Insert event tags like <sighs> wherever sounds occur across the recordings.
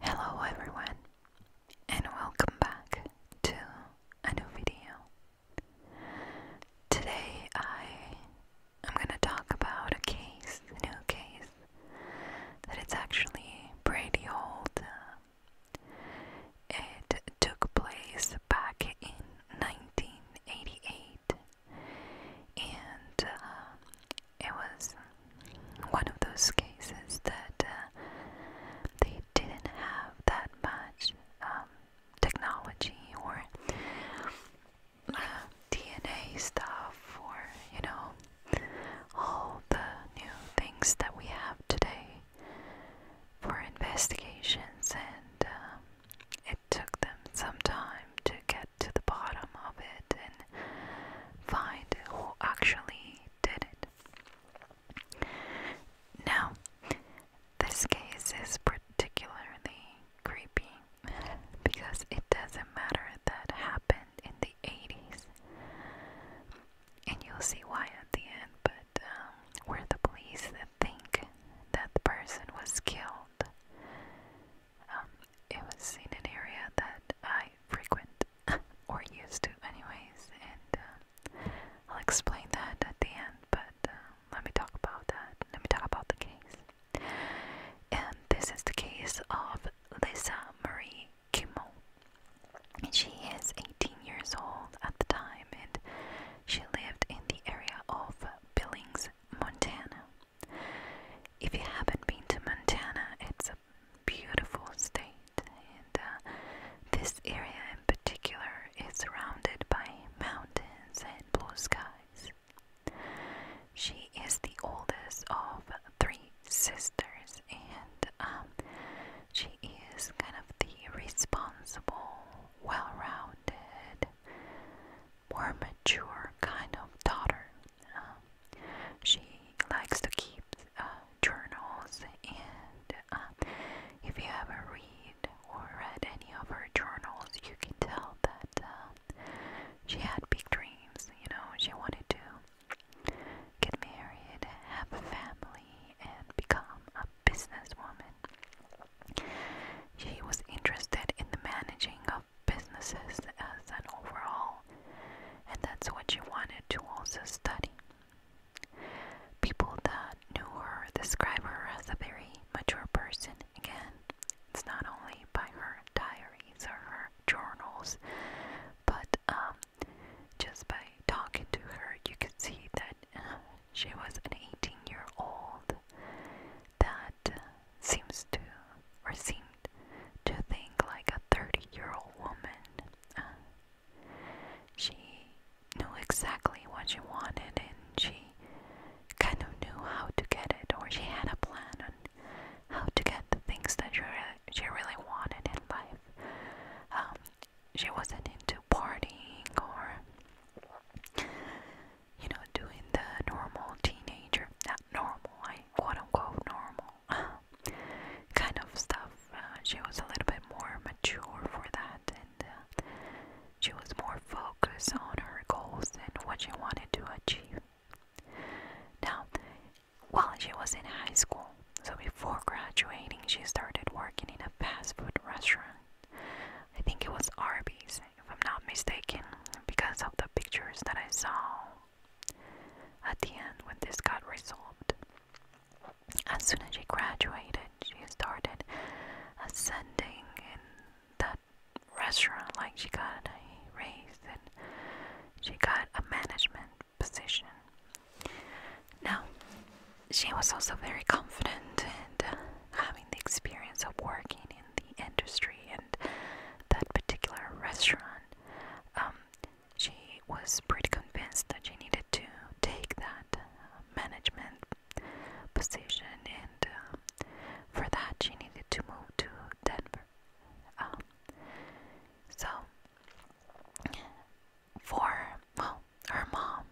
Hello everyone and welcome back to a new video. Today I am going to talk about a case, a new case that it's actually pretty old. It took place back in 1988 and uh, it was one of those cases that uh, they didn't have that much um, technology or uh, DNA stuff or, you know, all the new things that we have today for investigations, and um, it took them some time to get to the bottom of it find who actually did it. Now, this case is particularly creepy because it doesn't matter that happened in the 80s, and you'll see why at the end, but um, where the police think that the person was killed. Um, it was in an area that I frequent, <laughs> or used to, anyways, and uh, I'll explain that at the end, but uh, let me talk about that. Let me talk about the case. And this is the case of Lisa Marie Kimmel. And she is 18 years old at the time, and she lived in the area of Billings, Montana. If you haven't been to Montana, it's a beautiful state, and uh, this area in particular is surrounded by mountains and blue skies. She is the oldest of three sisters, and um, she is kind of the responsible, well rounded, more mature kind of daughter she likes to keep uh, journals, and uh, if you ever read or read any of her journals, you can tell that uh, she had big dreams. You know, she wanted to get married, have a family, and become a businesswoman. She was interested in the managing of businesses as an overall, and that's what she wanted to also study. People that knew her describe her as a very mature person. Again, it's not only by her diaries or her journals, but um, just by talking to her, you could see that uh, she was an 18 year old that seems to or seemed to think like a 30 year old woman. Uh, she knew exactly what she wanted and she kind of knew how to get it, or she had a plan on how to get the things that she, she really wanted in life. Um, she wasn't into partying or you know doing the normal teenager normal quote unquote normal uh, kind of stuff. Uh, she was a little bit more mature for that, and uh, she was more focused on her goals and what she wanted to achieve. Now, while she was in high school, so before graduating, she started working in a fast food restaurant. I think it was Arby's, if I'm not mistaken, because of the pictures that I saw at the end, when this got resolved, as soon as she graduated, she started ascending in that restaurant. Like she got a raise and she got a management position. Now, she was also very confident and uh, having the experience of working in the industry and that particular restaurant. Um, she was pretty convinced that she needed to take that uh, management position, and uh, for that, she needed to move to Denver. Um, so, for well, her mom,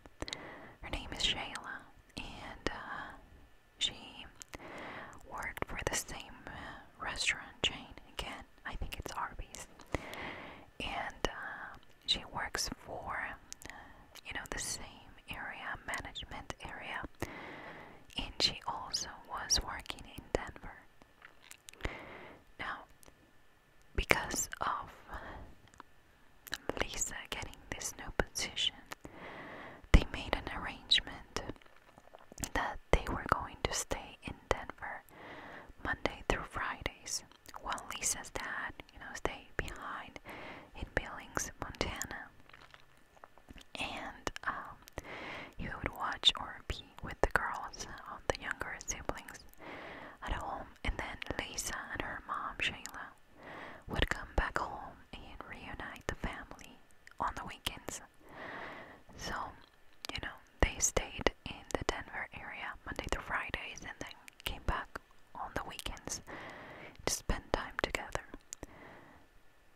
her name is Shayla, and uh, she worked for the same restaurant chain again I think it's Arby's, and uh, she works for you know the same area management area, and she also was working in Denver. Now, because of Lisa getting this new position, they made an arrangement that they were going to stay in Denver Monday through Fridays, while Lisa's dad, you know, stay behind in Billings, Montana. And um, he would watch or be with the girls, uh, the younger siblings, at home. And then Lisa and her mom, Shayla, would come back home and reunite the family on the weekends. So you know, they stayed in the Denver area Monday through Fridays and then came back on the weekends to spend time together.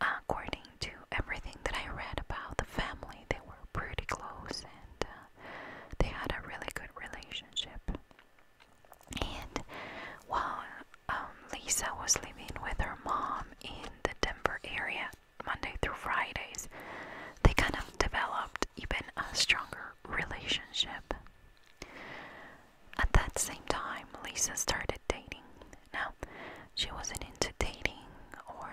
According to everything that I read about the family, they were pretty close and uh, they had a really good relationship. And while um, Lisa was living with her mom in the Denver area, Monday through Fridays, they kind of developed even a stronger relationship. At that same time, Lisa started dating. Now, she wasn't into dating or,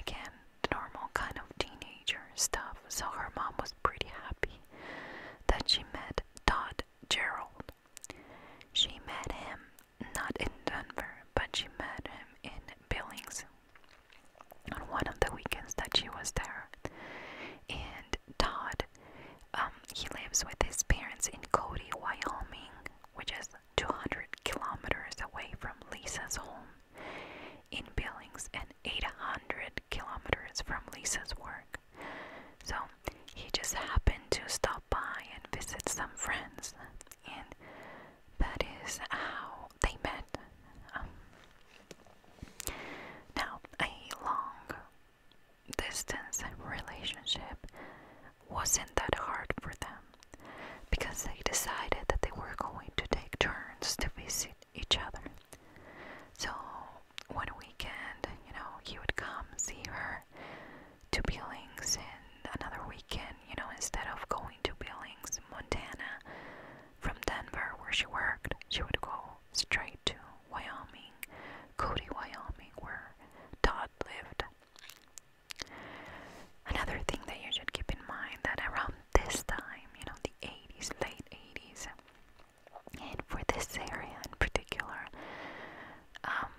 again, normal kind of teenager stuff, so her mom was pretty happy that she met Todd Gerald, she met him not in Denver, but she met him in Billings on one of the weekends that she was there. And Todd, um, he lives with his parents in Cody, Wyoming, which is 200 kilometers away from Lisa's home in Billings and 800 kilometers from Lisa's work. So he just happened to stop by and visit some friends and that is how they met. Um, now, a long distance relationship wasn't that hard for them because they decided that they were going to take turns to visit each other. So, one weekend, you know, he would come see her to Billings in another weekend, you know, instead of going to Billings, Montana, from Denver where she worked, she would go straight to Wyoming, Cody, Wyoming, where Todd lived. Another thing that you should keep in mind that around this time, you know, the 80s, late 80s, and for this area in particular, um,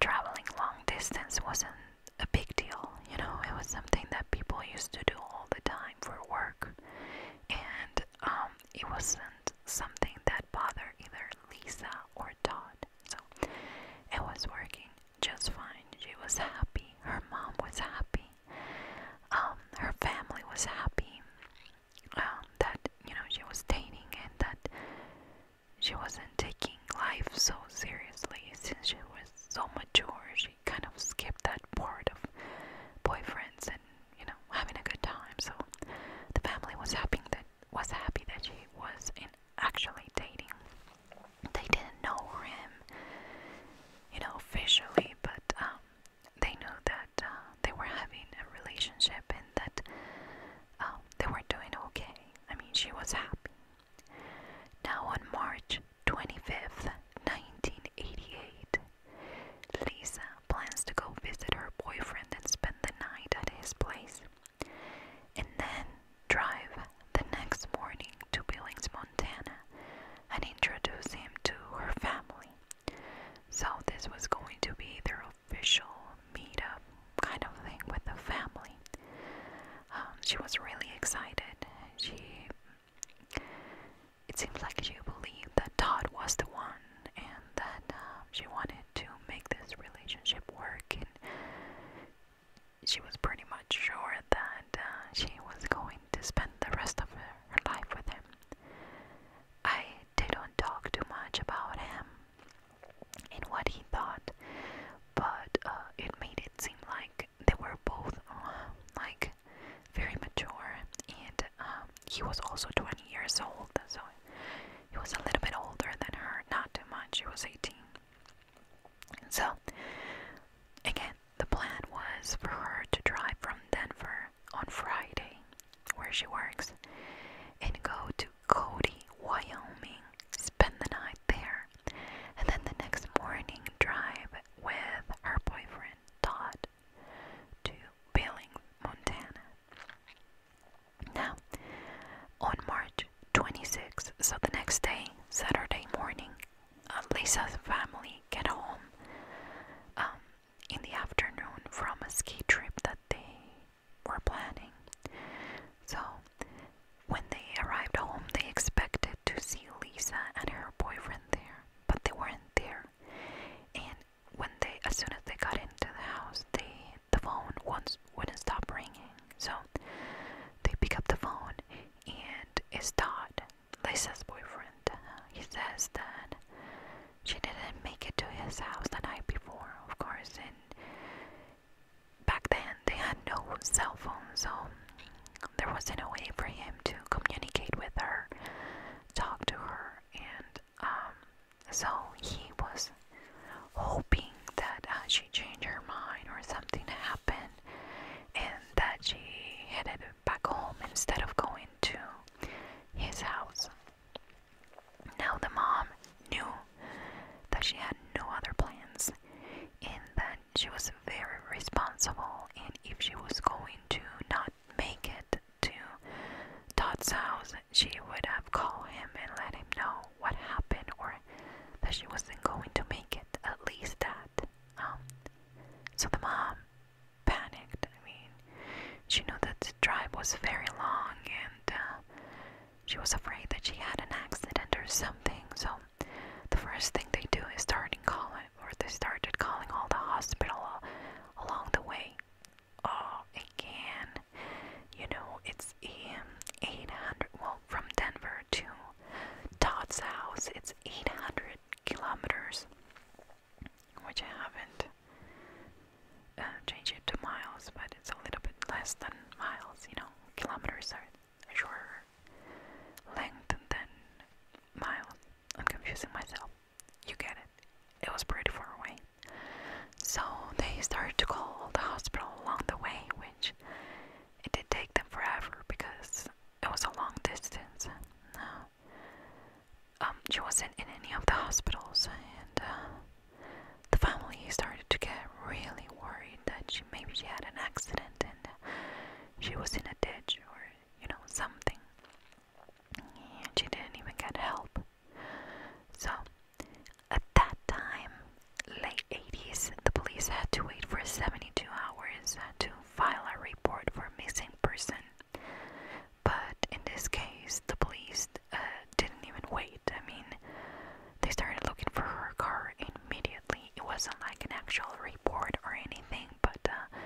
traveling long distance wasn't a big deal, you know, it was something that people used to do all the time for work, and um, it wasn't something that bothered either Lisa or Todd. So it was working just fine. She was happy, her mom was happy, um, her family was happy um, that you know she was dating and that she wasn't taking life so seriously since she was so mature. She kind of skipped that part of boyfriends and you know having a good time. So the family was happy that was happy that she was in actually dating. They didn't know him, you know, officially, but um, they knew that uh, they were having a relationship and that Oh, they were doing okay. I mean, she was happy. Now, on March 25th, 1988, Lisa plans to go visit her boyfriend and spend the night at his place, and then drive the next morning to Billings, Montana, and introduce him to her family. So, this was going to be their official meetup kind of thing with the family. Um, she was really excited. She, it seems like she believed that Todd was the one, and that um, she wanted to make this relationship work. And she was pretty much sure that uh, she was going to spend the rest of her, her life with him. I didn't talk too much about him in what he thought, but uh, it made it seem like they were both uh, like very mature, and um, he was also 20 years old, so he was a little bit older than her, not too much. She was 18. So again, the plan was for her to drive from Denver on Friday, where she works, and go to Cody, Wyoming, spend the night there, and then the next morning drive with her boyfriend Todd to Billings, Montana. Now, on March 26th, so the next day, Saturday morning, uh, Lisa's family get home um, in the afternoon from a ski trip that day were planning. So, when they arrived home, they expected to see Lisa and her boyfriend there, but they weren't there. And when they, as soon as they got into the house, they the phone once wouldn't stop ringing. So they pick up the phone, and it's Todd, Lisa's boyfriend. he says that she didn't make it to his house the night before, of course, and back then they had no cell phones, so there wasn't a way for him to communicate with her, talk to her, and um, so he was hoping that uh, she changed her mind or something happened and that she headed back home instead of going to his house. Now the mom knew that she had no other plans and that she was very responsible and if she was going to not make it to Todd's house, she would have called him and let him know what happened or that she wasn't going to make it, at least that. Um, so the mom panicked. I mean, she knew that the drive was very long and uh, she was afraid that she had an accident or something, so the first thing they do is starting calling, or they started calling all the hospital uh, along the way. Oh, again, you know, it's um, 800, well, from Denver to Todd's house, it's 800 kilometers, which I haven't uh, change it to miles, but it's a little bit less than miles, you know, kilometers are shorter length than miles. I'm confusing myself. You get it. It was pretty far away. So they started to call the hospital along the way, which it did take them forever because it was a long distance. Uh, she wasn't in any of the hospitals, and uh, the family started to get really worried that she maybe she had an accident and she was in a ditch or you know something. And she didn't even get help. So at that time, late 80s, the police had to wait for 72 hours to file a report for missing person. But in this case, the police uh, didn't even wait. I mean, they started looking for her car immediately. It wasn't like an actual report or anything, but uh,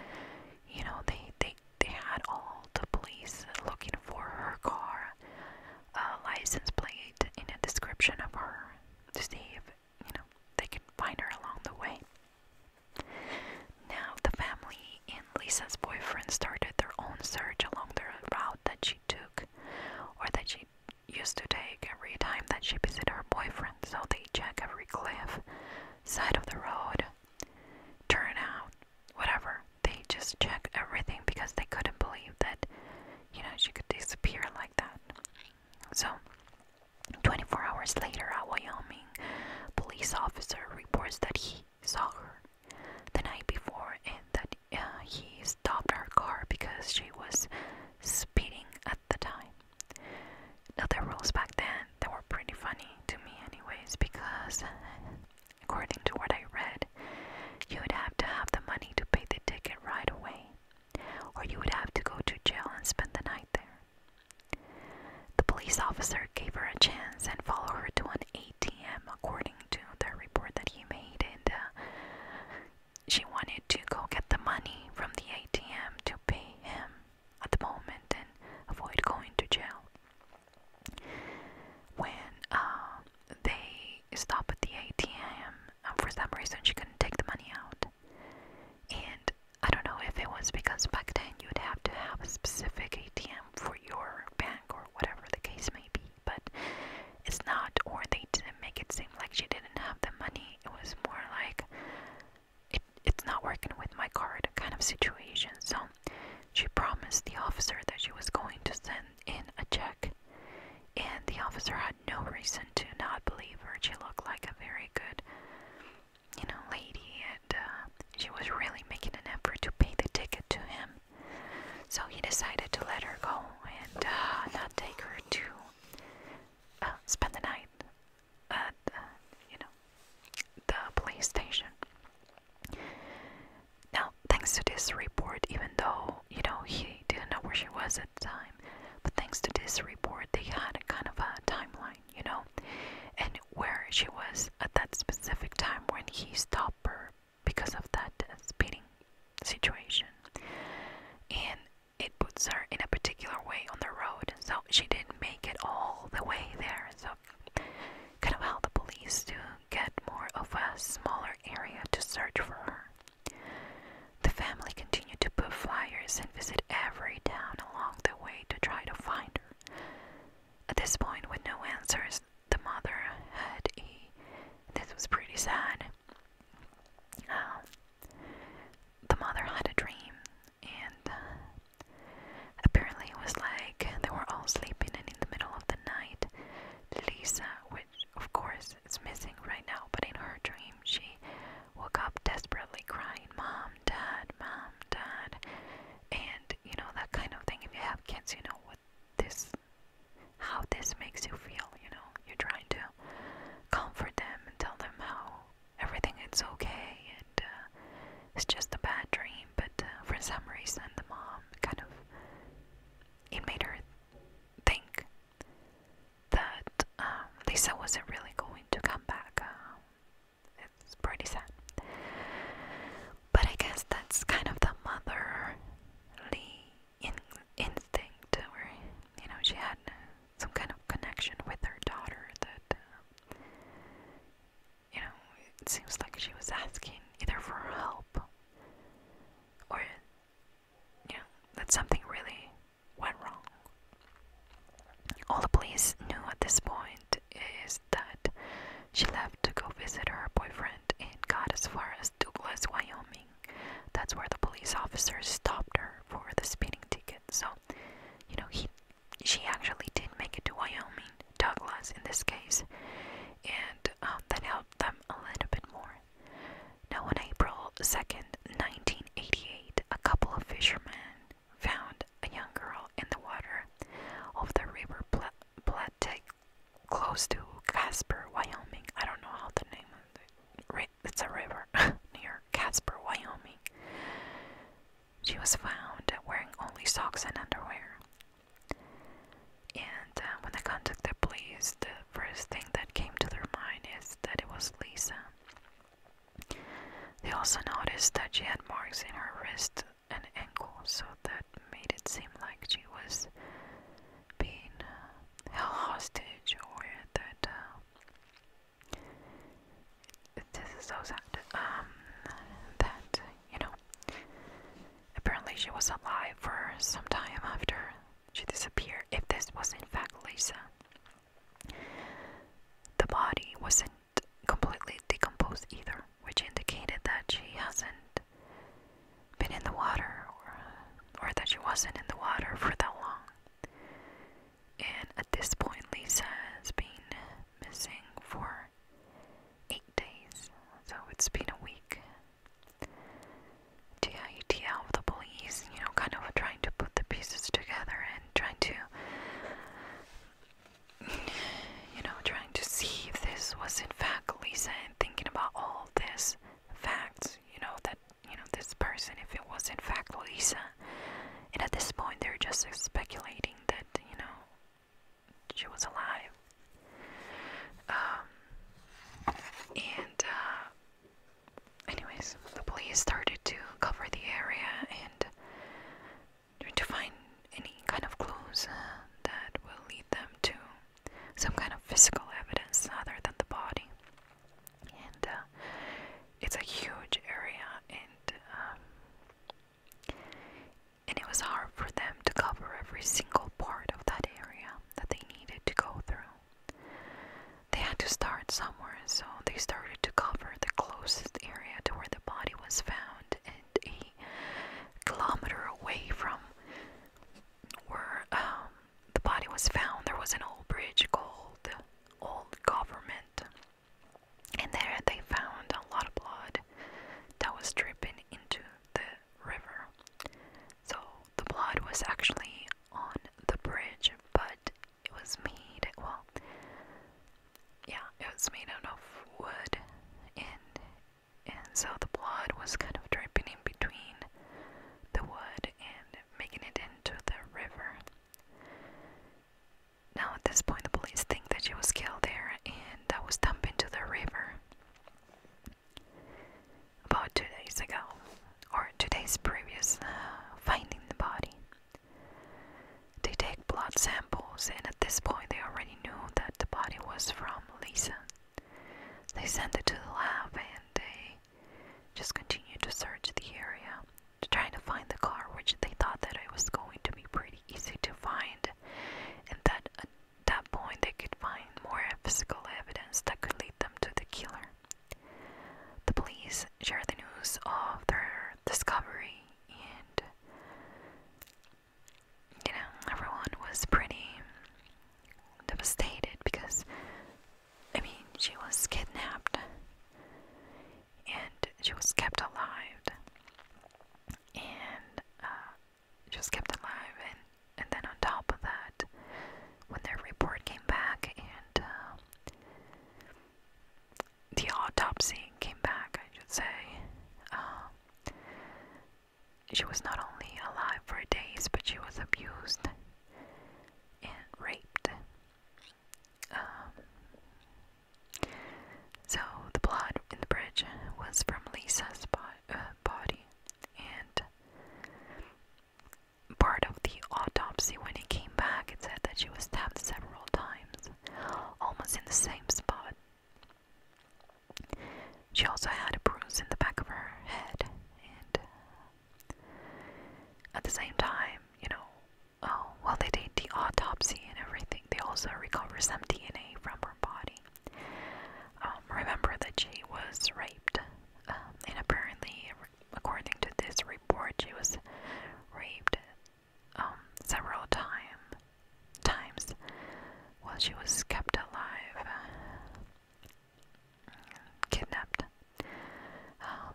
you know, they they they had all the police looking for her car, uh, license plate, in a description of her to see if you know they could find her along the way. Now, the family and Lisa's boyfriend started their own search along the route that she took or that she used to take every time that she visited her boyfriend, so they check every cliff, side of the road, turn out, whatever. They just check everything because they couldn't believe that, you know, she could disappear like that. So, 24 hours later, a Wyoming police officer reports that he saw her the night before and that uh, he stopped her car because she was speeding at the time. Now, the rules back then, they were pretty funny to me anyways because, according to what I read, you would have to have the money to pay the ticket right away or you would have to go to jail and spend the night there. The police officer gave her a chance and followed her to an ATM, according to the report that he made, and uh, she wanted to go get the money from the ATM to pay him at the moment and avoid going to jail. When uh, they stopped at the ATM, uh, for some reason she couldn't take the money out. And I don't know if it was because back then you'd have to have a specific ATM for your bank or whatever the case may be but it's not, or they didn't make it seem like she didn't have the money. It was more like it, it's not working with my card kind of situation. So she promised the officer that she was going to send in a check, and the officer had no reason to not believe her. She looked like a very good, you know, lady, and uh, she was really making an effort to pay the ticket to him. So he decided to let her go and uh, not take her to uh, spend the night at, uh, you know, the police station. Now, thanks to this report, even though, you know, he didn't know where she was at the time, but thanks to this report, they had a kind of a timeline, you know, and where she was at that specific time when he stopped her because of that uh, speeding situation and it puts her in a particular way on the road so she didn't make it all the way there so kind of how the police to get more of a smaller area to search for her the family continued to put flyers and visit every town along the way to try to find her at this point with no answers the mother had a. This was pretty sad. Um, the mother had a dream, and uh, apparently it was like they were all sleeping, and in the middle of the night, Lisa, which of course is missing right now, but in her dream, she woke up desperately crying, Mom, Dad, Mom, Dad. And you know, that kind of thing. If you have kids, you know what this how this makes you feel, you know. You're trying to comfort them and tell them how everything is okay and uh, it's just a bad dream, but uh, for some reason the mom kind of it made her think that um, Lisa wasn't really going to come back. Uh, it's pretty sad. But I guess that's kind of the motherly instinct, or you know, she had some kind of connection with her daughter that, um, you know, seems like she was asking either for help or, you know, that something really went wrong. All the police knew at this point is that she left to go visit her boyfriend and got as far as Douglas, Wyoming. That's where the police officers stopped her for the speeding ticket. So, you know, he she actually did make it to Wyoming, Douglas in this case, and um, that helped them a little bit more. Now, on April 2nd, 1988, a couple of fishermen found a young girl in the water of the River Platte close to Casper, Wyoming. I don't know how the name of it. It's a river <laughs> near Casper, Wyoming. She was found wearing only socks and underwear. And uh, when they contacted the police, the first thing that came to their mind is that it was Lisa. They also noticed that she had marks in her wrist and ankle, so that made it seem like she was being uh, held hostage or that uh, this is so sad um, that you know apparently she was alive for some time after she disappeared if this was in fact Lisa the body wasn't completely decomposed either which indicated that she hasn't been in the water or, that she wasn't in the water for that long. And at this point, Lisa has been missing for eight days, so it's been a week. DITL, the police, you know, kind of trying to put the pieces together and trying to, you know, trying to see if this was in fact Lisa and thinking about all all these facts, you know, that, you know, this person, if it was in fact Lisa, and at this point they're just speculating that, you know, she was alive. Um, and, uh, anyways, the police started to cover the area and try to find any kind of clues uh, that will lead them to some kind of physical evidence other than the body. And uh, it's a huge area, and um, and it was hard for them to cover every single part of that area that they needed to go through. They had to start somewhere, so they started to cover the closest area to where the body was found, and a kilometer away from where um, the body was found, there was an old bridge called Old Government, and there they found a lot of blood that was dripping into the river. So the blood was actually on the bridge, but it was made well, yeah, it was made out of wood, and and so the blood was kind of dripping in between the wood and making it into the river. Now, at this point, the police think that she was killed there and that was dumped into the river about two days ago, or two days previous, uh, finding the body. They take blood samples, and at this point, they already knew that the body was from Lisa. They sent it to the lab and they just continued to search the area, trying to find the car, which they thought that it was going to be pretty easy to find, and that at that point they could find more physical evidence that could lead them to the killer. The police share the news of their discovery and you know, everyone was pretty devastated because, I mean, she was kidnapped and she was kept alive. And uh, she was kept alive, and, and then on top of that, when their report came back and uh, the autopsy came back, I should say, uh, she was not only alive for days, but she was abused and raped. Um, so the blood in the bridge was from Lisa's uh, body, and part of the autopsy when it came back, it said that she was stabbed several times, almost in the same spot she also had a bruise in the back of her head, and uh, at the same time, you know, oh, well, they did the autopsy and everything. They also recovered some DNA from her body. Um, remember that she was raped, um, and apparently, according to this report, she was raped um, several times times while she was kept alive, kidnapped. Um,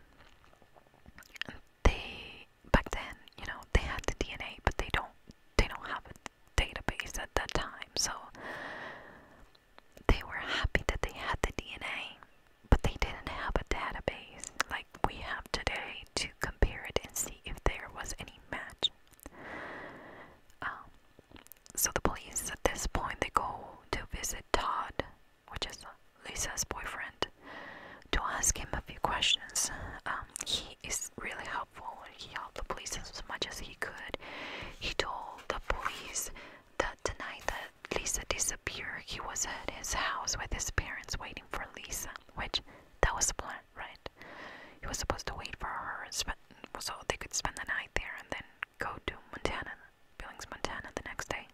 they back then, you know, they had the DNA, but they don't they don't have a database at that time, so they were happy that they had the DNA, but they didn't have a database like we have today to compare it and see if there was any match. Um, so the police at this point they go to visit Todd, which is Lisa's boyfriend, to ask him a few questions. Um, he is really helpful. He helped the police as much as he could. He told the police that the night that Lisa disappeared, he was at his house with his parents waiting for Lisa, which that was a plan, right? He was supposed to wait for her spend, so they could spend the night there and then go to Montana, Billings, Montana the next day.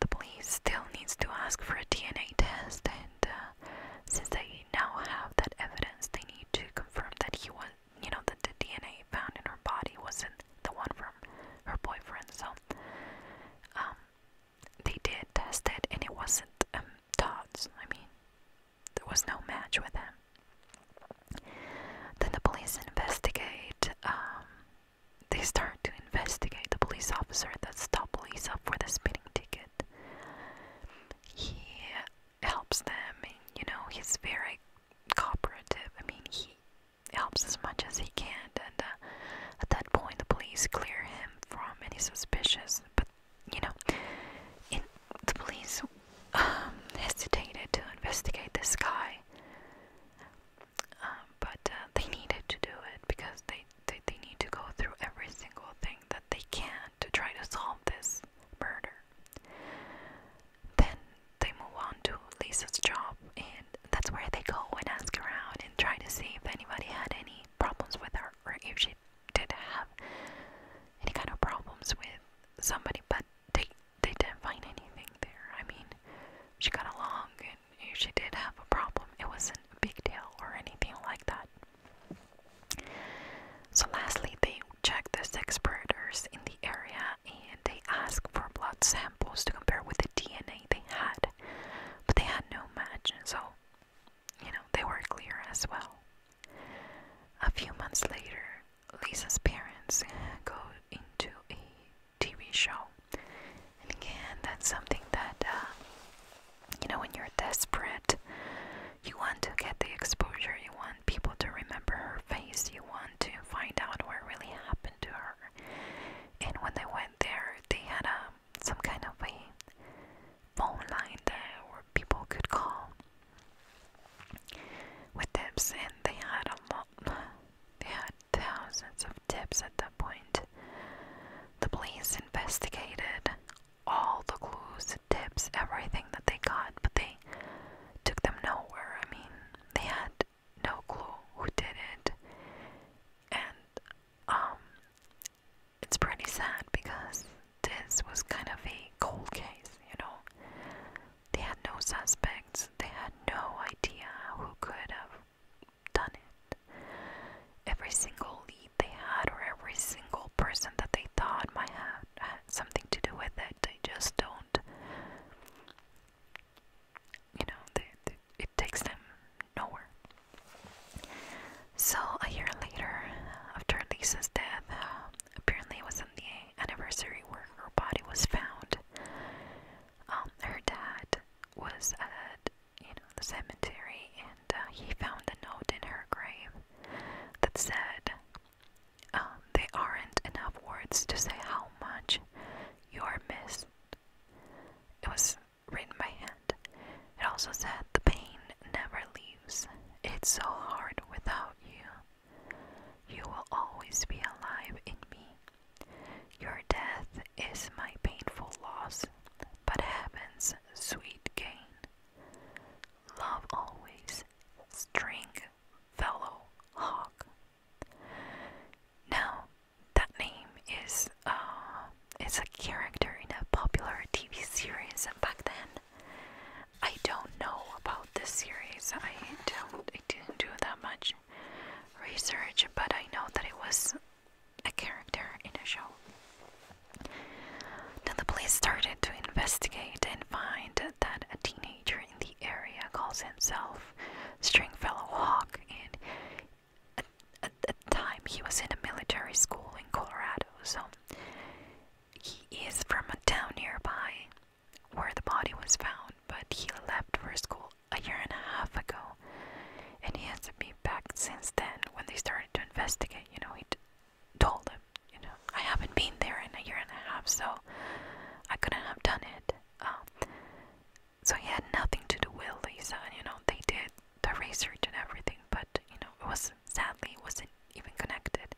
The police still needs to ask for a DNA test and uh, since they now have that evidence, they need to confirm that he was, you know, that the DNA found in her body wasn't the one from her boyfriend. So, um, they did test it and it wasn't um, Todd's. I mean, there was no match with him. Then the police investigate. Um, they start to investigate the police officer that stopped Lisa for the speeding ticket. He helps them, and you know he's very cooperative. I mean, he helps as much as he can, and uh, at that point, the police clear him from any suspicious. But you know, the police um, hesitated to investigate this guy, um, but uh, they needed to do it because they, they they need to go through every single thing that they can to try to solve this murder. Then they move on to Lisa's job, and that's where they go and ask around and try to see if anybody had any problems with her or if she did have any kind of problems with somebody, but they they didn't find anything there. I mean, she got along, and if she did have a problem, it wasn't a big deal or anything like that. So lastly, they checked the sex predators in the area, and they asked for blood samples to compare with the DNA they had, but they had no match. So you know, they were clear as well. A few months later, Lisa's parents go into a TV show. And again, that's something that, uh, you know, when you're desperate, you want to get the exposure, you want people to remember her face, you want to find out what really happened to her. And when they went there, they had um, some kind of a phone line there where people could call with tips, and they had a They had thousands of tips at that point. The police investigated all the clues, tips, everything that they got, but they took them nowhere. I mean, they had no clue who did it, and um, it's pretty sad because this was kind of a cold case, you know. They had no suspects, they had no idea who could have done it. Every single lead they had, or every single person that they thought might have had something to do with it, they just don't. You know, it takes them nowhere. So, a year later, after Lisa's death, apparently it was on the anniversary where her body was found. Um, her dad was at you know the cemetery, and uh, he found a note in her grave that said, um, "There aren't enough words to say how much you are missed." It was written by hand. It also said, "The pain never leaves." It's so hard without you. You will always be alive in me. Your death is my painful loss, but heaven's sweet gain. Love always, string, fellow hawk. Now, that name is uh, it's a character in a popular TV series back then. I don't know about this series. I don't I didn't do that much research, but I know that it was a character in a show. Then the police started to investigate and find that a teenager in the area calls himself Stringfellow Hawk, and at, at the time he was in a military school in Colorado. So he is from a town nearby where the body was found, but he left for school a year and a half ago and he hasn't been back since then when they started to investigate. You know, he told them, you know, I haven't been there in a year and a half, so I couldn't have done it. Um, so he had nothing to do with Lisa, you know, they did the research and everything, but that, you know, it was sadly wasn't even connected.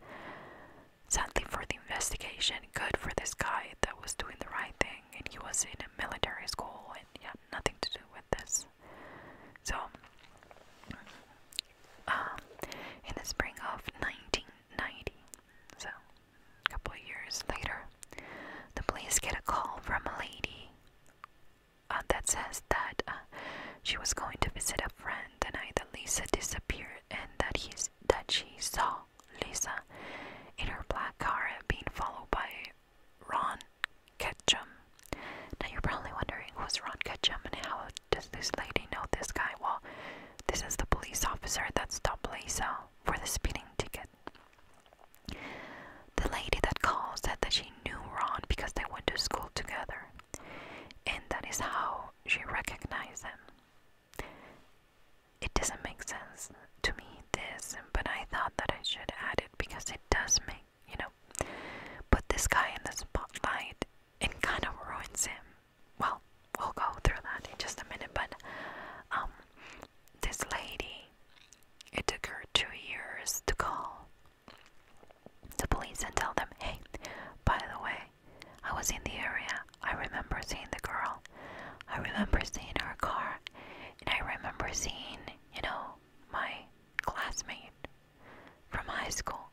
Sadly for the investigation, good for this guy that was doing the right thing, and he was in a military school and he had nothing to do with this. So, um, in the spring of 1990, so a couple of years later, the police get a call from a lady uh, that says that uh, she was going to visit a friend the night that Lisa disappeared, and that he's that she saw Lisa in her black car being followed by Ron Ketchum. Now you're probably wondering who's Ron Ketchum and how does this lady know this guy? Well, this is the police officer that stopped Lisa for the speeding ticket. The lady that called said that she knew Ron because they went to school together and that is how she recognized him. It doesn't make sense to me this, but I thought that I should add it because it does make you know put this guy in the spotlight It kind of ruins him. Well, we'll go through that in just a minute, but um, this lady, it took her two years to call the police and tell them, hey, by the way, I was in the area. I remember seeing the girl. I remember seeing her car. And I remember seeing, you know, my classmate from high school,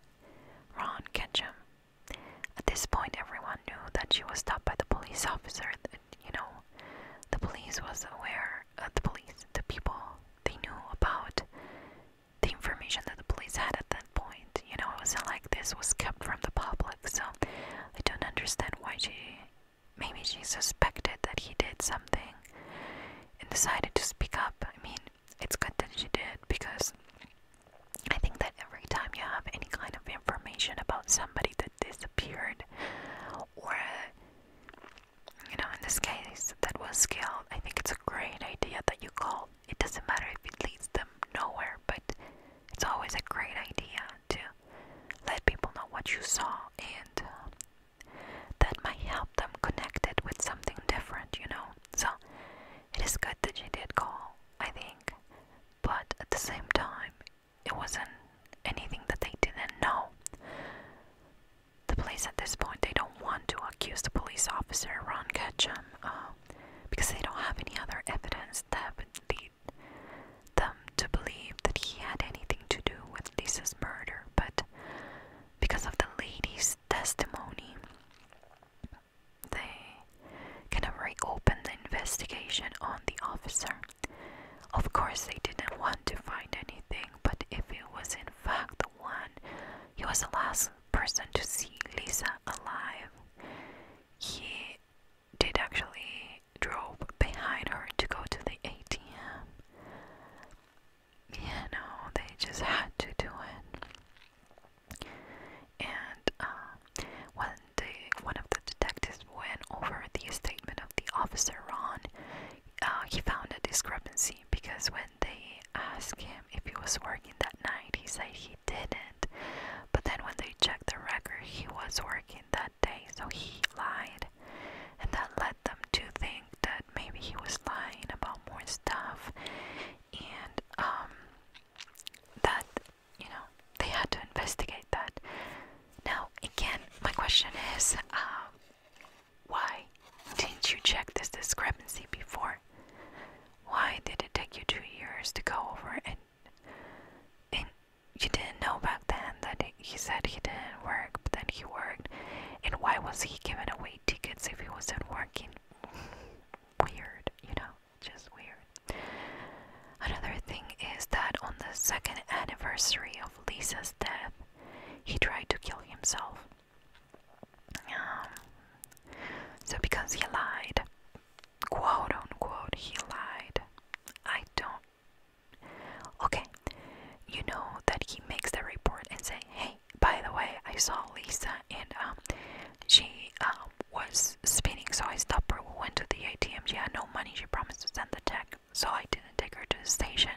Ron Ketchum. At this point, everyone knew that she was stopped by the police officer. you know, the police was aware. Uh, the police, the people, they knew about the information that the police had at that point. You know, it wasn't like this was kept from the public, so I don't understand why she. Maybe she suspected that he did something and decided to speak up. I mean, it's good that she did because I think that every time you have any kind of information about somebody that disappeared or you know, in this case, that was skill. I think it's a great idea that you call. It doesn't matter if it leads them nowhere, but it's always a great idea to let people know what you saw, and uh, that might help them connect it with something different, you know. So it is good that you did call, I think, but at the same time, it wasn't anything that they didn't know the police at this point they don't want to accuse the police officer Ron Ketchum um, because they don't have any other evidence that would lead them to believe that he had anything to do with Lisa's murder. But because of the lady's testimony, they kind of reopen the investigation on the officer. Of course, they didn't want to find anything, but if it was in fact the one, he was the last person to see Lisa alive. He did actually drove behind her to go to the ATM. Yeah, no, they just had to do it. And uh, when one of the detectives went over the statement of the officer Ron, uh, he found a discrepancy because when when they asked him if he was working that night, he said he didn't. But then when they checked the record, he was working that day, so he lied. And that led them to think that maybe he was lying about more stuff. And um that you know, they had to investigate that. Now, again, my question is, um, why didn't you check this discrepancy before? Why did it take you two years to go over it? and you didn't know back then that he said he didn't work, but then he worked. And why was he giving away tickets if he wasn't working? Weird, you know, just weird. Another thing is that on the second anniversary of Lisa's death, he tried to kill himself. Um, so because he lied, quote unquote, he lied. I don't. Okay, you know that he makes the report and say, "Hey, by the way, I saw Lisa and um, she um was spinning, so I stopped her. We went to the ATM. She had no money. She promised to send the check, so I didn't take her to the station."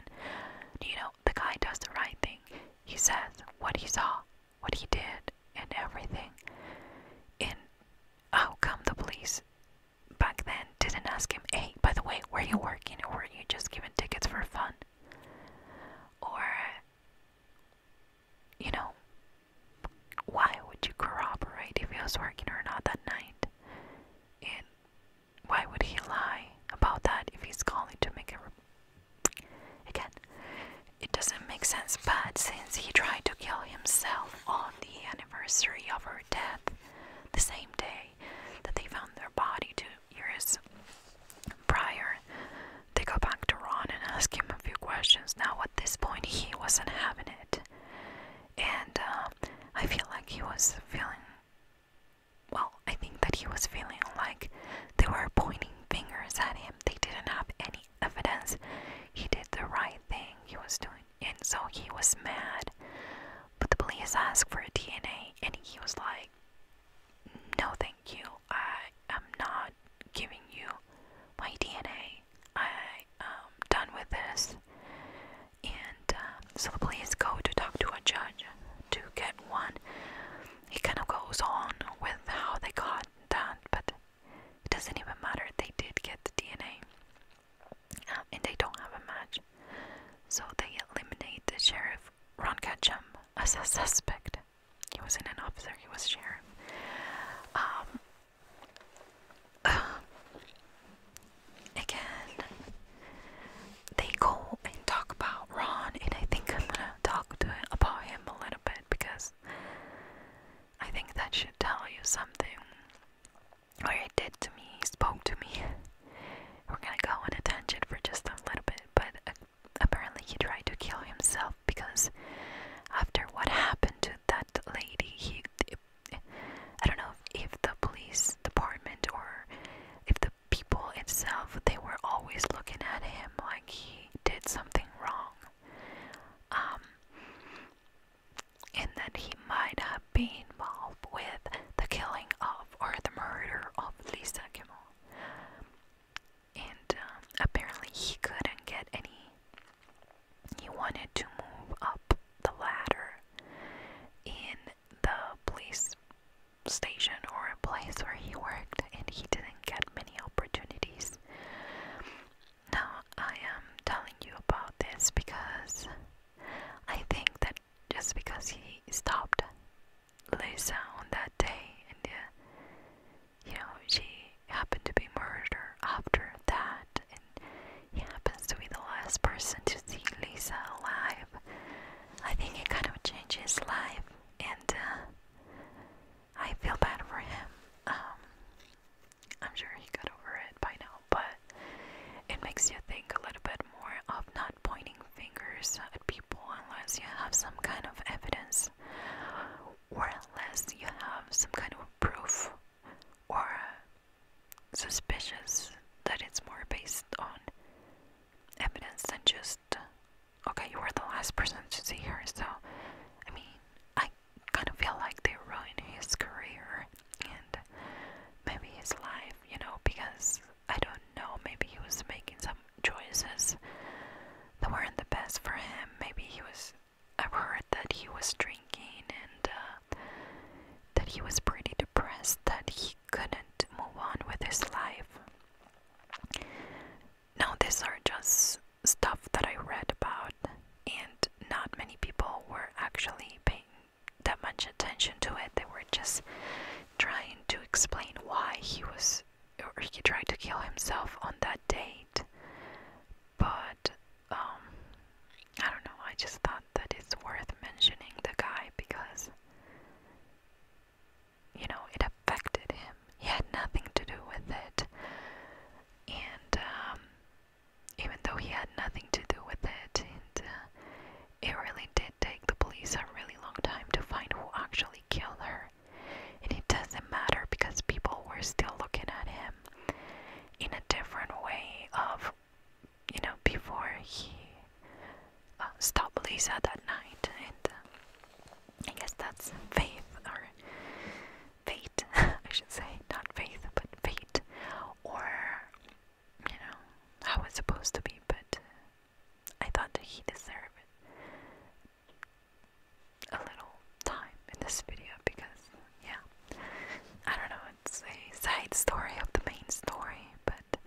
You know, the guy does the right thing. He says what he saw, what he did, and everything. And how oh, come the police back then didn't ask him, hey, by the way, were you working or were you just giving tickets for fun? Or, you know, why would you corroborate if he was working or not that night? And why would he lie about that if he's calling to make a Again, it doesn't make sense, but since he tried to kill himself on the anniversary of her death, the same day that they found their body two years prior, they go back to Ron and ask him a few questions. Now, at this point, he wasn't having it, and uh, I feel like he was feeling well, I think that he was feeling like they were pointing fingers at him. They didn't have any evidence he did the right thing he was doing, and so he was mad. But the police asked for a DNA, and he was like, No, thank you. I am not giving you my DNA. I am um, done with this. And um, so the police go to talk to a judge to get one he kind of goes on with how they got that, but it doesn't even matter. They did get the DNA, um, and they don't have a match, so they eliminate the sheriff Ron Ketchum as a suspect. He wasn't an officer; he was sheriff. Um, <sighs> again, they go and talk about Ron, and I think I'm gonna talk to him about him a little bit because I think that should tell you something. What he did to me, he spoke to me. We're gonna go on a tangent for just a little bit, but uh, apparently he tried to kill himself because after what happened to that lady, he. I don't know if the police department or if the people itself, they were always looking at him like he did something wrong. Um, and that he might have been involved with the killing of or the murder of Lisa Kimmel. And um, apparently, he couldn't get any. He wanted to move up the ladder in the police station or a place where he worked, and he didn't get many opportunities. Now, I am telling you about this because I think that just because he stopped Lisa on that day, and uh, you know, she happened to be murdered after that, and he happens to be the last person to see Lisa alive. I think it kind of changed his life and uh, I feel bad for him. Um, I'm sure he got over it by now, but it makes you think a little bit more of not pointing fingers at people unless you have some kind of evidence or unless you have some kind of proof or suspicious that it's more based on evidence than just okay, you were the last person to see her, so I mean, I kind of feel like they ruined his career and maybe his life, you know, because I don't know, maybe he was making some choices that weren't the best for him. Maybe he was, I've heard that he was drinking and uh, that he was pretty depressed, that he couldn't move on with his life. Now, these are just stuff that I read about, and not many people were actually paying that much attention to it. They were just trying to explain why he was or he tried to kill himself on that date. But um, I don't know, I just thought that it's worth mentioning the guy because you know, it affected him. He had nothing to do with it. And um, even though he had nothing to do with it, and, uh, it really did take the police a really long time to find who actually killed her. And it doesn't matter because people were still looking at him in a different way of, you know, before he uh, stop Lisa that night, and uh, I guess that's faith or fate, <laughs> I should say, not faith, but fate, or you know how it's supposed to be. But uh, I thought that he deserved a little time in this video because, yeah, I don't know. It's a side story of the main story, but that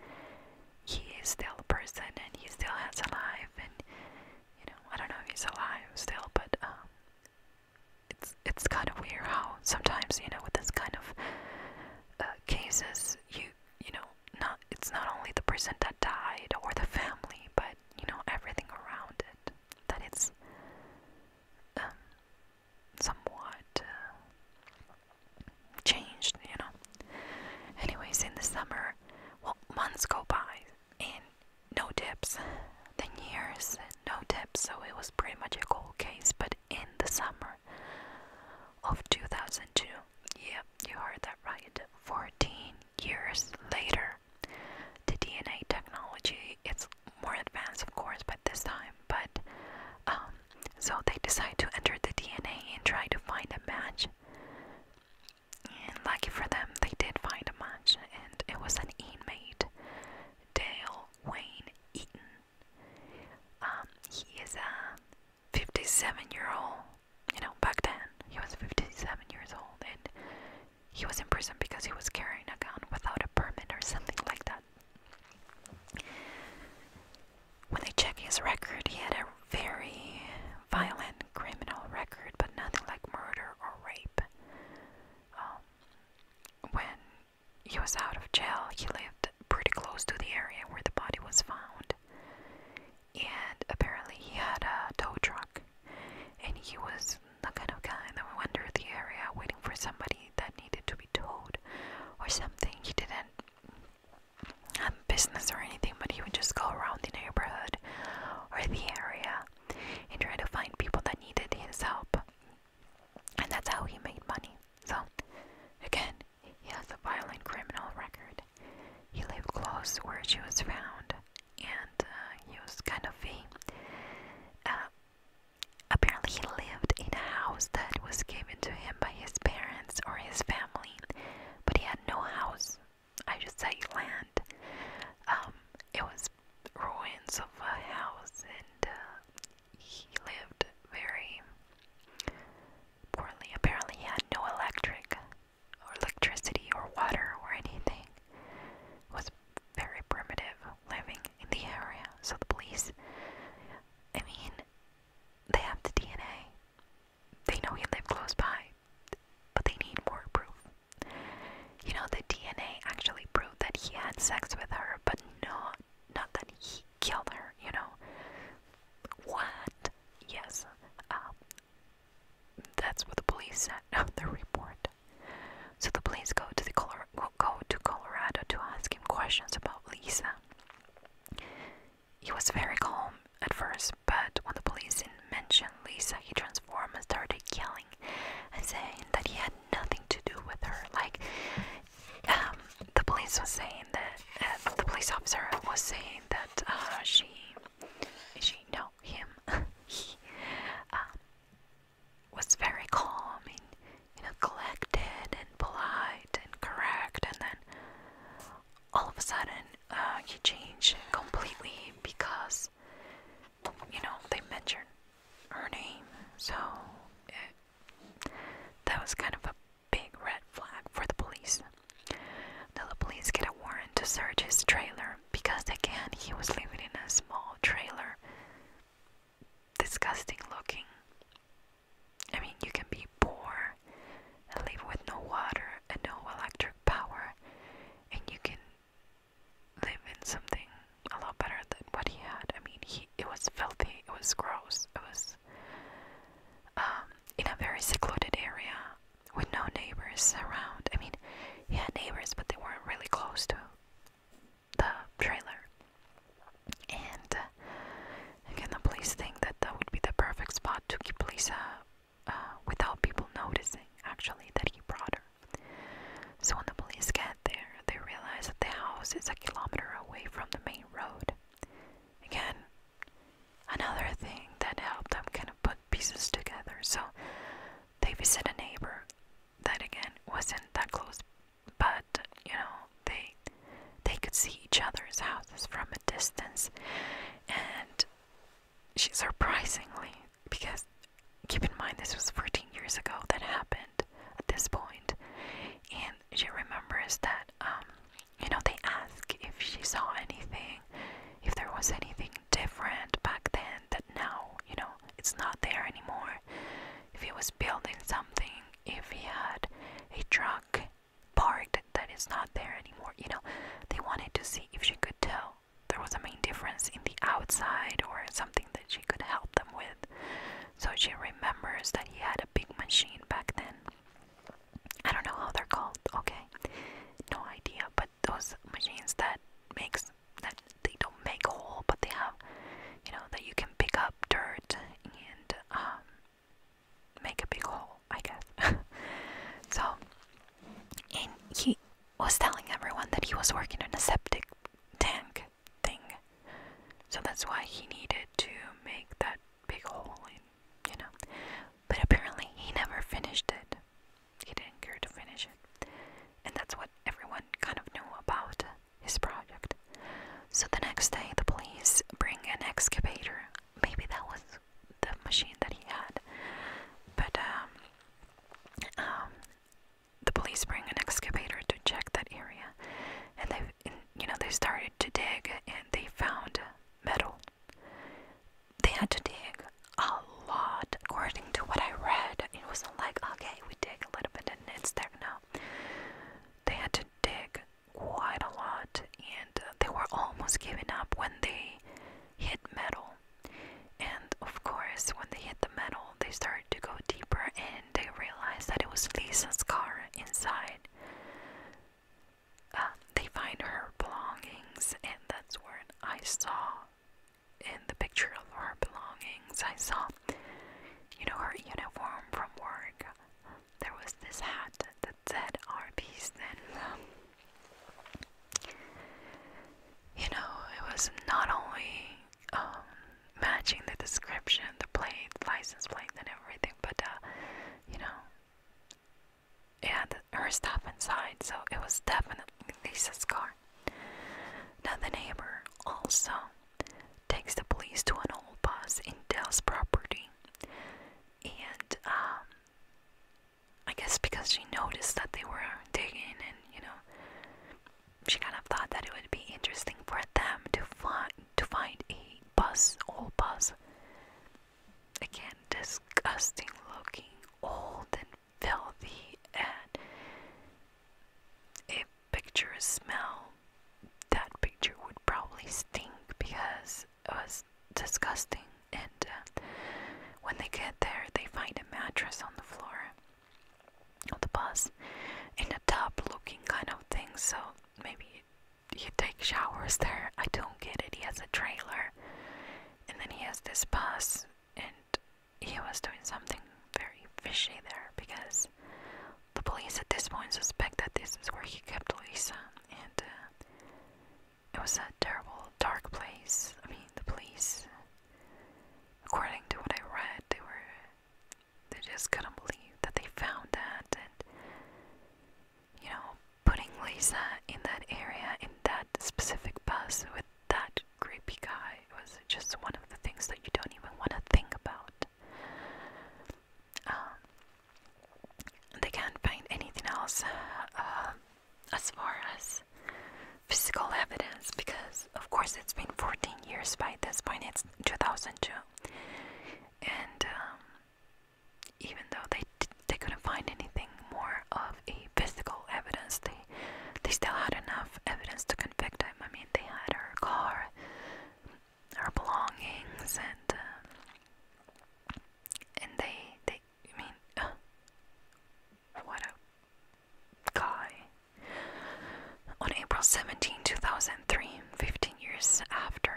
he is still a person and he still has a life and you know I don't know if he's alive still but um it's it's kind of weird how sometimes you know with this kind of uh, cases you you know not it's not only the person that died or the family but you know everything around it that it's um, somewhat uh, changed, you know. Anyways, in the summer, well, months go by and no dips. Then years, no dips. So it was pretty much a cold case. But in the summer of 2002, yeah, you heard that right. 14 years later, the DNA technology it's more advanced, of course, but this time. But um, so they decide to enter the DNA and try to find a match and lucky for them, they did find a match, and it was an inmate, Dale Wayne Eaton. Um, he is a 57-year-old. You know, back then he was 57 years old, and he was in prison because he was carrying a gun without a permit or something like that when they check his record, he had a very violent criminal record, but nothing like murder or rape. Um, when he was out of jail, he lived pretty close to the area where the body was found, and apparently he had a tow truck, and he was the kind of guy that would wander the area waiting for somebody that needed to be towed or something. He didn't um, business or anything, but he would just go around the neighborhood or the area and try to find people that needed his help. And that's how he made money. So, again, he has a violent criminal record. He lived close where she was found, and uh, he was kind of a. Uh, apparently, he lived in a house that was given to him by his parents or his family but he had no house. I just say land. Um, it was ruins of a house, and uh, he lived very poorly. Apparently, he had no electric, or electricity, or water, or anything. was very primitive living in the area. So the police, I mean, they have the DNA. They know he lived close by, but they need more proof. You know, the DNA actually proved that he had sex with her, but not not that he killed her. You know, what? Yes, um, that's what the police said <laughs> on the report. So the police go to the Color go to Colorado to ask him questions about Lisa. He was very calm at first, but when the police mentioned Lisa, he transformed and started yelling and saying that he had nothing to do with her. Like, um, the police was saying that uh, the police officer was saying that uh, she, she, know him, <laughs> he um, was very calm and you know collected and polite and correct, and then all of a sudden uh, he changed completely because you know they mentioned her name, so that was kind of a big red flag for the police. Now the police get a warrant to search his trailer because again he was living in a small trailer, disgusting looking. I mean, you can be poor and live with no water and no electric power, and you can live in something a lot better than what he had. I mean, he it was filthy, it was gross, it was um, in a very secluded area with no neighbors around. I mean, he had neighbors, but they weren't really close to the trailer. And uh, Again, the police think that that would be the perfect spot to keep Lisa uh, without people noticing, actually, that he brought her. So when the police get there, they realize that the house is a kilometer away from the main road. Again, another thing that helped them kind of put pieces together. So they visit a neighbor that, again, wasn't that close, but you know, they they could see each other's houses from a distance and she surprisingly because keep in mind this was 14 years ago that happened at this point and she remembers that um you know they ask if she saw anything if there was anything different back then that now you know it's not there anymore if he was building something if he had a truck Parked that is not there anymore. You know, they wanted to see if she could tell there was a main difference in the outside or something that she could help them with. So she remembers that he had a big machine back then. I don't know how they're called, okay? No idea, but those machines that makes that they don't make a hole, but they have, you know, that you can pick up dirt and um, make a big hole, I guess. <laughs> so, and he was telling everyone that he was working in a septic tank thing. So that's why he needed to make that big hole in, you know. But apparently he never finished it. He didn't care to finish it. And that's what everyone kind of knew about his project. So the next day, the police bring an excavator maybe that was the machine that he had. But um, um, the police bring an excavator to check that area, and they, you know, they started to dig, and they found metal. They had to dig a lot, according to what I read. It wasn't like okay, we dig a little bit and it's there. No, they had to dig quite a lot, and uh, they were almost giving up when they hit metal. And of course, when they hit the metal, they started to go deeper and they realized that it was Lisa's car inside. Uh, they find her belongings, and that's when I saw in the picture of her belongings, I saw, you know, her uniform from work, there was this hat that said RPS. then. you know, it was not only um, matching the description, the plate, license plate, and everything, but uh, you know, it had her stuff inside, so it was definitely Lisa's car. Now, the neighbor also takes the police to an old bus in Dell's property and um, I guess because she noticed that they were digging, and you know, she kind of thought that it would be interesting for them to find to find a bus, old bus. Again, disgusting looking, old and filthy, and if pictures smell, that picture would probably stink because it was disgusting. And uh, when they get there, they find a mattress on the floor of the bus in a tub looking kind of thing. So maybe you take showers there. I don't get it. He has a trailer and then he has this bus, and he was doing something very fishy there because the police at this point suspect that this is where he kept Lisa and. Uh, it was a terrible, dark place. I mean, the police, according to what I read, they were. They just couldn't believe that they found that, and you know, putting Lisa in that area, in that specific bus with that creepy guy was just one of the things that you don't even want to think about. Um, they can't find anything else uh, as far as physical evidence because, of course, it's been 14 years by this point, it's 2002. And um, even though they, they couldn't find anything more of a physical evidence, they, they still had enough evidence to convict him. I mean, they had her car, our belongings and uh, and they they I mean what a guy on April 17 2003 15 years after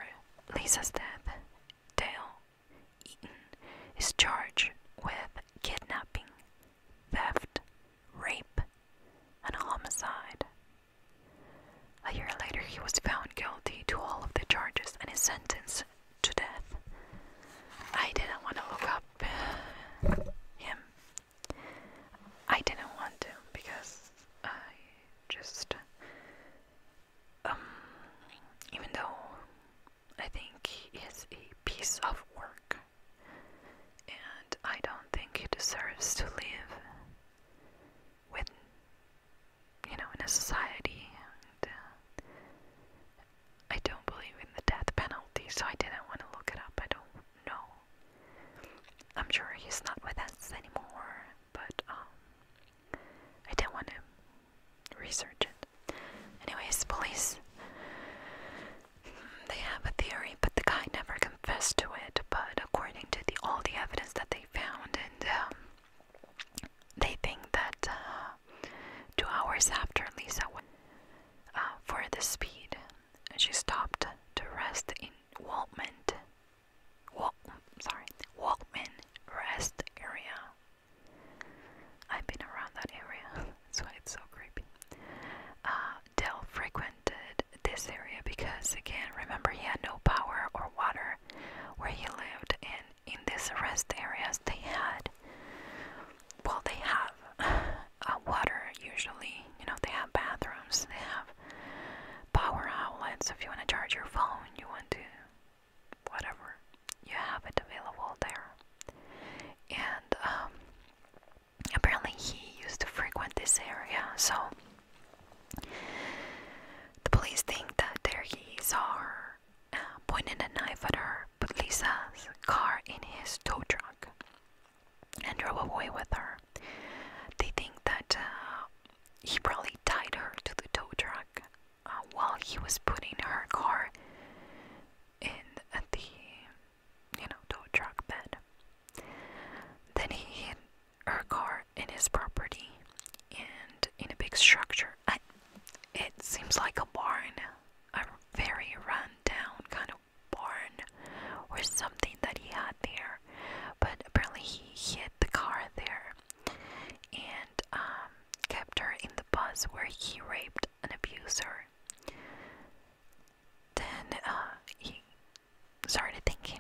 Lisa's death Dale Eaton is charged with kidnapping theft rape and homicide a year later, he was found guilty to all of the charges and is sentenced to death. I didn't want to look up uh, him. I didn't want to because I just. Um, even though I think he is a piece of work, and I don't think he deserves to live with you know, in a society. Uh, I don't believe in the death penalty, so I didn't want to look it up. I don't know. I'm sure he's not with us anymore, but um, I didn't want to research it. Anyways, police. They have a theory, but the guy never confessed to it. But according to the all the evidence that they found, and um, they think that uh, two hours after Lisa went uh, for the speed, she stopped to rest in Waltman. Wal sorry, Waltman rest area. I've been around that area. <laughs> That's why it's so creepy. Uh, Dell frequented this area because, again, remember he had no power or water where he lived and in these rest areas they had well they have uh, water usually you know they have bathrooms they have power outlets if you want to charge your phone you want to whatever you have it available there and um, apparently he used to frequent this area so the police think that there he uh, saw her pointing a knife at her, but Lisa's car in his tow truck, and drove away with her. They think that uh, he probably tied her to the tow truck uh, while he was putting her car in the, you know, tow truck bed. Then he hit her car in his property and in a big structure. it seems like a barn, a very run down kind of barn or something that he had there. But apparently, he hid the car there and um, kept her in the bus where he raped and abused her. Then uh, he started thinking,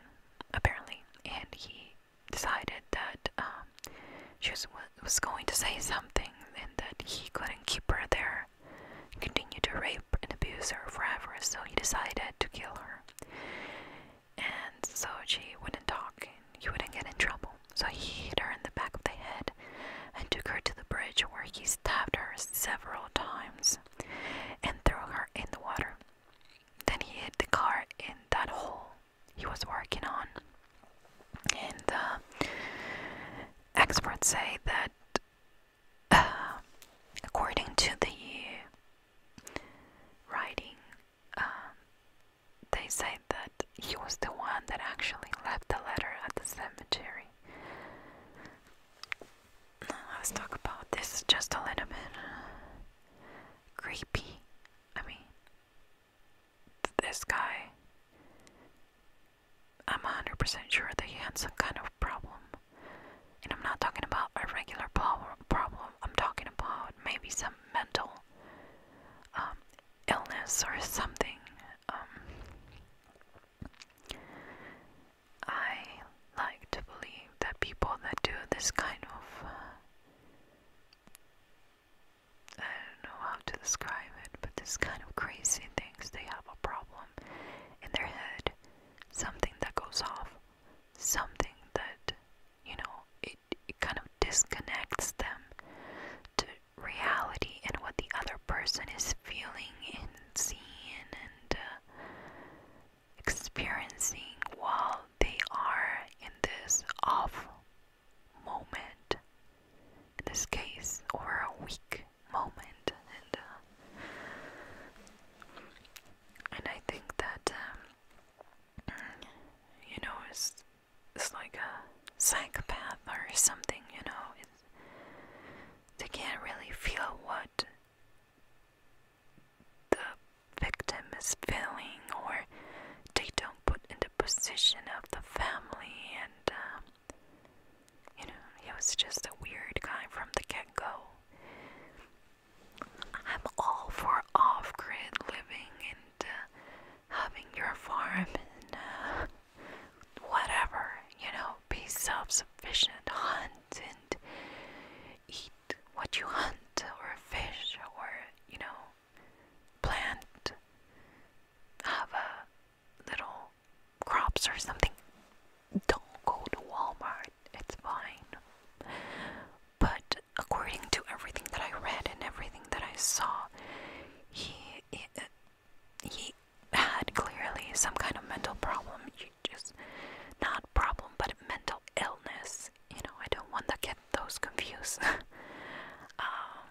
apparently, and he decided that um, she was, going to say something and that he couldn't keep her there, continue to rape and abuse her forever, so he decided to kill her. And so she wouldn't talk and he wouldn't get in trouble. So he hit her in the back of the head and took her to the bridge where he stabbed her several times and threw her in the water then he hid the car in that hole he was working on. And uh, experts say that, uh, according to the writing, um, they say that he was the one that actually left the letter at the cemetery. let's talk about this just a little bit creepy. I mean, this guy. I'm 100% sure that he had some kind of problem. And I'm not talking about a regular problem, I'm talking about maybe some mental um, illness or something. Um, I like to believe that people that do this kind of uh, I don't know how to describe it, but this kind of crazy things they have a problem in their head. Something that goes off. Something that, you know, it, kind of disconnects them to reality and what the other person is feeling and seeing and uh, experiencing while they are in this off moment, in this case, or a weak moment, and uh, and I think that um, you know it's it's like a psychopath or something, you know, it's, they can't really feel what the victim is feeling or they don't put in the position of the family and um, you know he was just a weird guy from the get-go i'm all for off-grid living and uh, having your farm and uh, whatever you know be self-sufficient hunt and eat what you hunt or a fish or, you know, plant, have a little crops or something, don't go to Walmart. It's fine. But according to everything that I read and everything that I saw, he he had clearly some kind of mental problem. You just not problem, but mental illness. You know, I don't want to get those confused. <laughs> Um,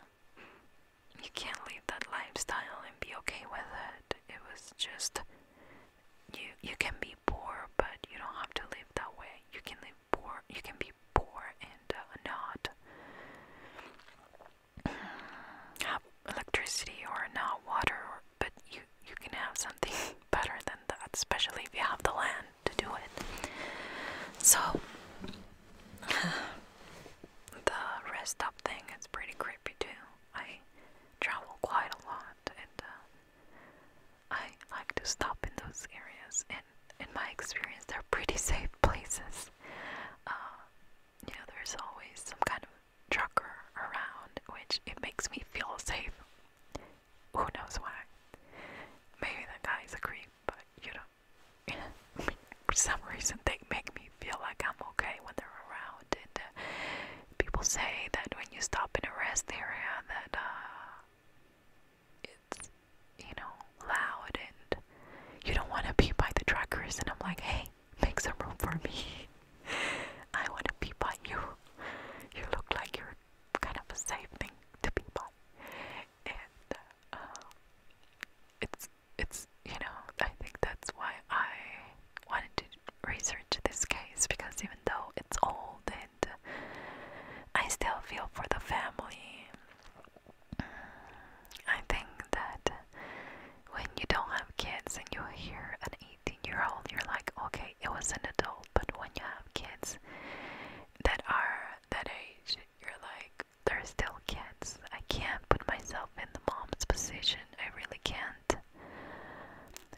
you can't live that lifestyle and be okay with it. It was just you. You can be poor, but you don't have to live that way. You can live poor. You can be poor and uh, not have electricity or not water, or, but you you can have something <laughs> better than that, especially if you have the land to do it. So, <sighs> the rest stop thing is pretty creepy too. I travel quite a lot and uh, I like to stop in those areas, and in my experience, they're pretty safe places. Uh, you know, there's always some kind of trucker around, which it makes me feel safe. Who knows why? Maybe the guy is a creep, but you know, <laughs> for some reason they make me feel like I'm okay when they're around. And uh, people say that when you stop in a rest area, that uh, it's you know loud and you don't want to be by the truckers. And I'm like, hey, make some room for me. <laughs> I want to be by you. You look like you're were kind of a safe thing to be by. And uh, it's it's you know I think that's why I wanted to research this case because even though it's old and I still feel for the family. I think that when you don't have kids and you hear an 18 year old, you're like, okay, it was an adult normal, but when you have kids that are that age, you're like, they're still kids. I can't put myself in the mom's position. I really can't.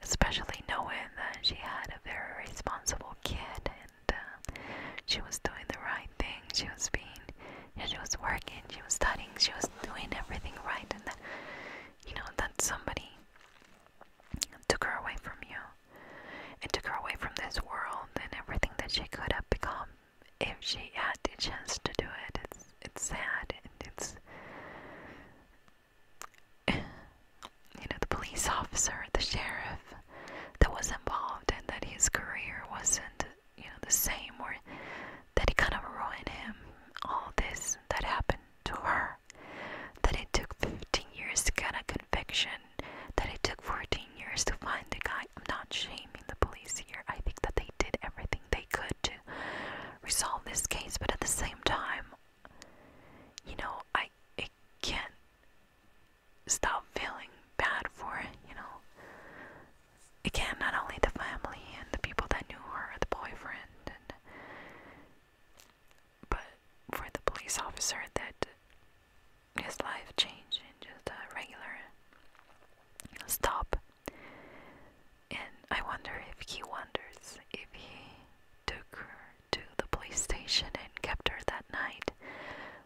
Especially knowing that she had a very responsible kid and uh, she was doing the right thing. She was being, you know, she was working, she was studying, she was doing everything right, and that, you know, that somebody took her away from you it took her away from this world and everything that she could have become if she had the chance to do it. It's it's sad and it's <sighs> you know the police officer, the sheriff that was involved and that his career wasn't you know the same or that it kind of ruined him all this that happened to her that it took 15 years to get a conviction, that it took 14 years to find the guy. I'm not shaming the police here. I think that they did everything they could to resolve this case, but at the same time, you know, I, I can't stop feeling bad for it, you know. Again, not only the family and the people that knew her, the boyfriend, and but for the police officer that his life changed in just a regular stop. And I wonder if he wonders if he took her to the police station and kept her that night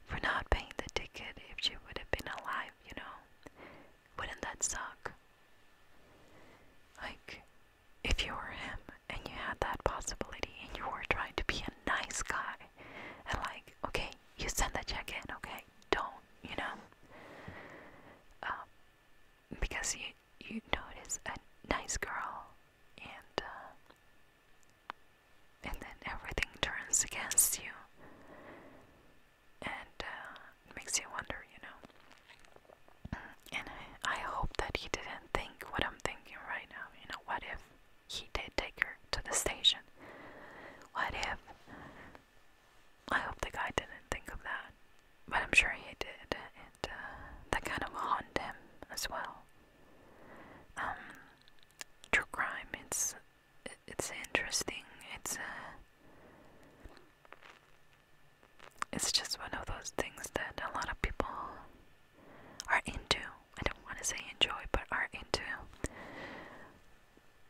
for not paying the ticket if she would have been alive, you know. Wouldn't that suck? Like, if you were him and you had that possibility and you were trying to be a nice guy and like, okay, you send the check in, okay, don't, you know, um, because you you notice a nice girl and uh, and then everything turns against you and uh, makes you wonder, you know. And I, hope that he didn't think what I'm thinking right now. You know, what if he did take her to the station? What if. I hope the guy didn't think of that. But I'm sure he did. And uh, that kind of haunted him as well. Um, true crime, it's, it's interesting. It's, uh, it's just one of those things that a lot of people are into I don't want to say enjoy but are into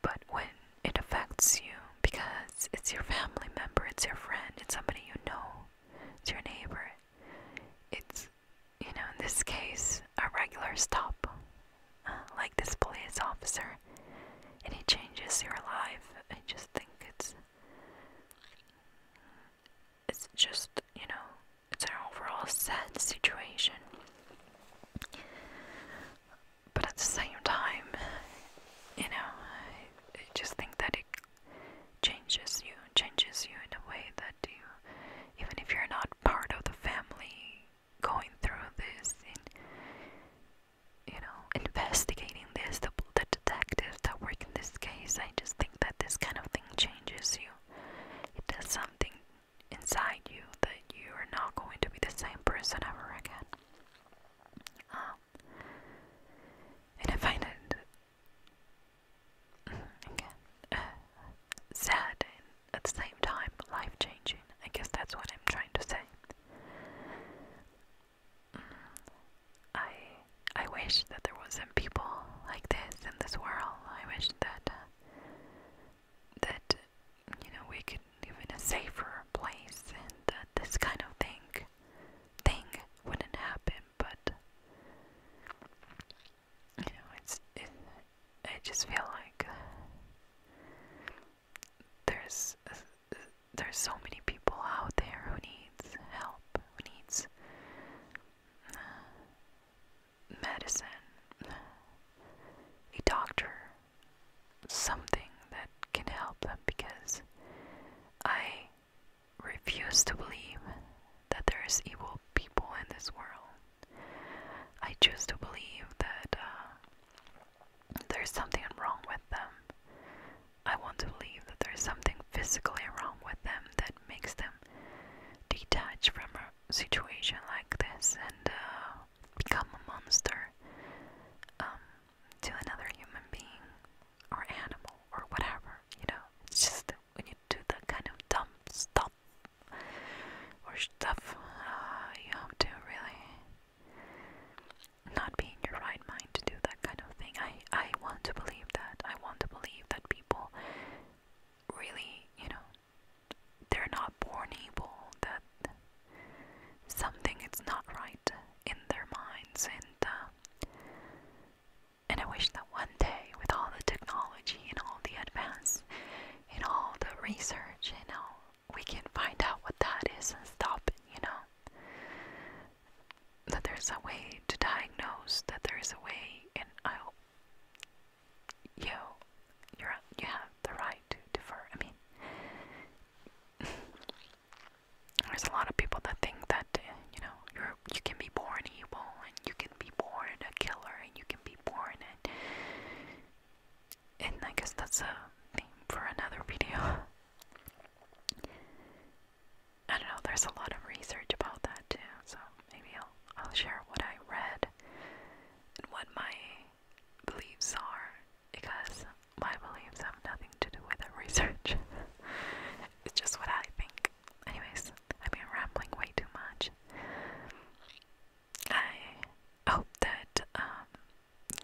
but when it affects you because it's your family member, it's your friend, it's somebody you know, it's your neighbor. It's you know, in this case, a regular stop, uh, like this police officer, and he changes your life. I just think it's it's just, you know, it's an overall sad situation. But at the same time, you know, I, just think that it changes you, changes you in a way that you, even if you're not part of the family going through this, and you know, investigating this, the the detectives that work in this case, I just think that this kind of thing changes you. It does something inside you that you are not going to be the same person ever again. Um, and I find it again uh, sad and at the same time life changing. I guess that's what I'm trying to say. Mm. I I wish that there wasn't people like this in this world. I wish that uh, that you know we could live in a safer place and that this kind of thing thing wouldn't happen. But you know, it's it, I just feel like there's there's so many people out there who needs help, who needs medicine, a doctor, something that can help them because I refuse to believe that there is evil people in this world. I choose to believe that uh, there's something wrong with them. I want to believe that there is something physically wrong with them that makes them detach from a situation like this and uh, become a monster um, to another human being or animal or whatever. You know, it's just when you do that kind of dumb stuff or stuff, uh, you have to really not be in your right mind to do that kind of thing. I I want to believe that. I want to believe that people really, you know, they're not born evil. That something is not right in their minds, and uh, and I wish that one day, with all the technology and all the advance and all the research, you know, we can find out what that is and stop it. You know, that there's a way to diagnose that there is a way and I'll you you're you have the right to differ. I mean <laughs> there's a lot of people that think that you know you're you can be born evil and you can be born a killer and you can be born and and I guess that's a theme for another <laughs> video. I don't know, there's a lot of research about that too, so maybe I'll, I'll share what I read and what my beliefs are, because my beliefs have nothing to do with research. <laughs> it's just what I think. Anyways, I've been rambling way too much. I hope that um,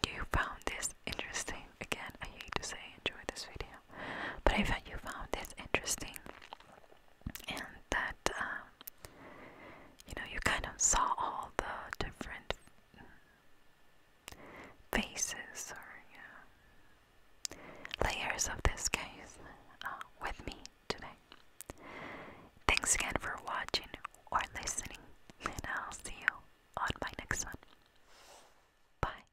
you found this interesting. Again, I hate to say enjoy this video, but I thought you found it interesting, and that um, you know you kind of saw all the different faces or layers of this case uh, with me today. Thanks again for watching or listening, and I'll see you on my next one. Bye.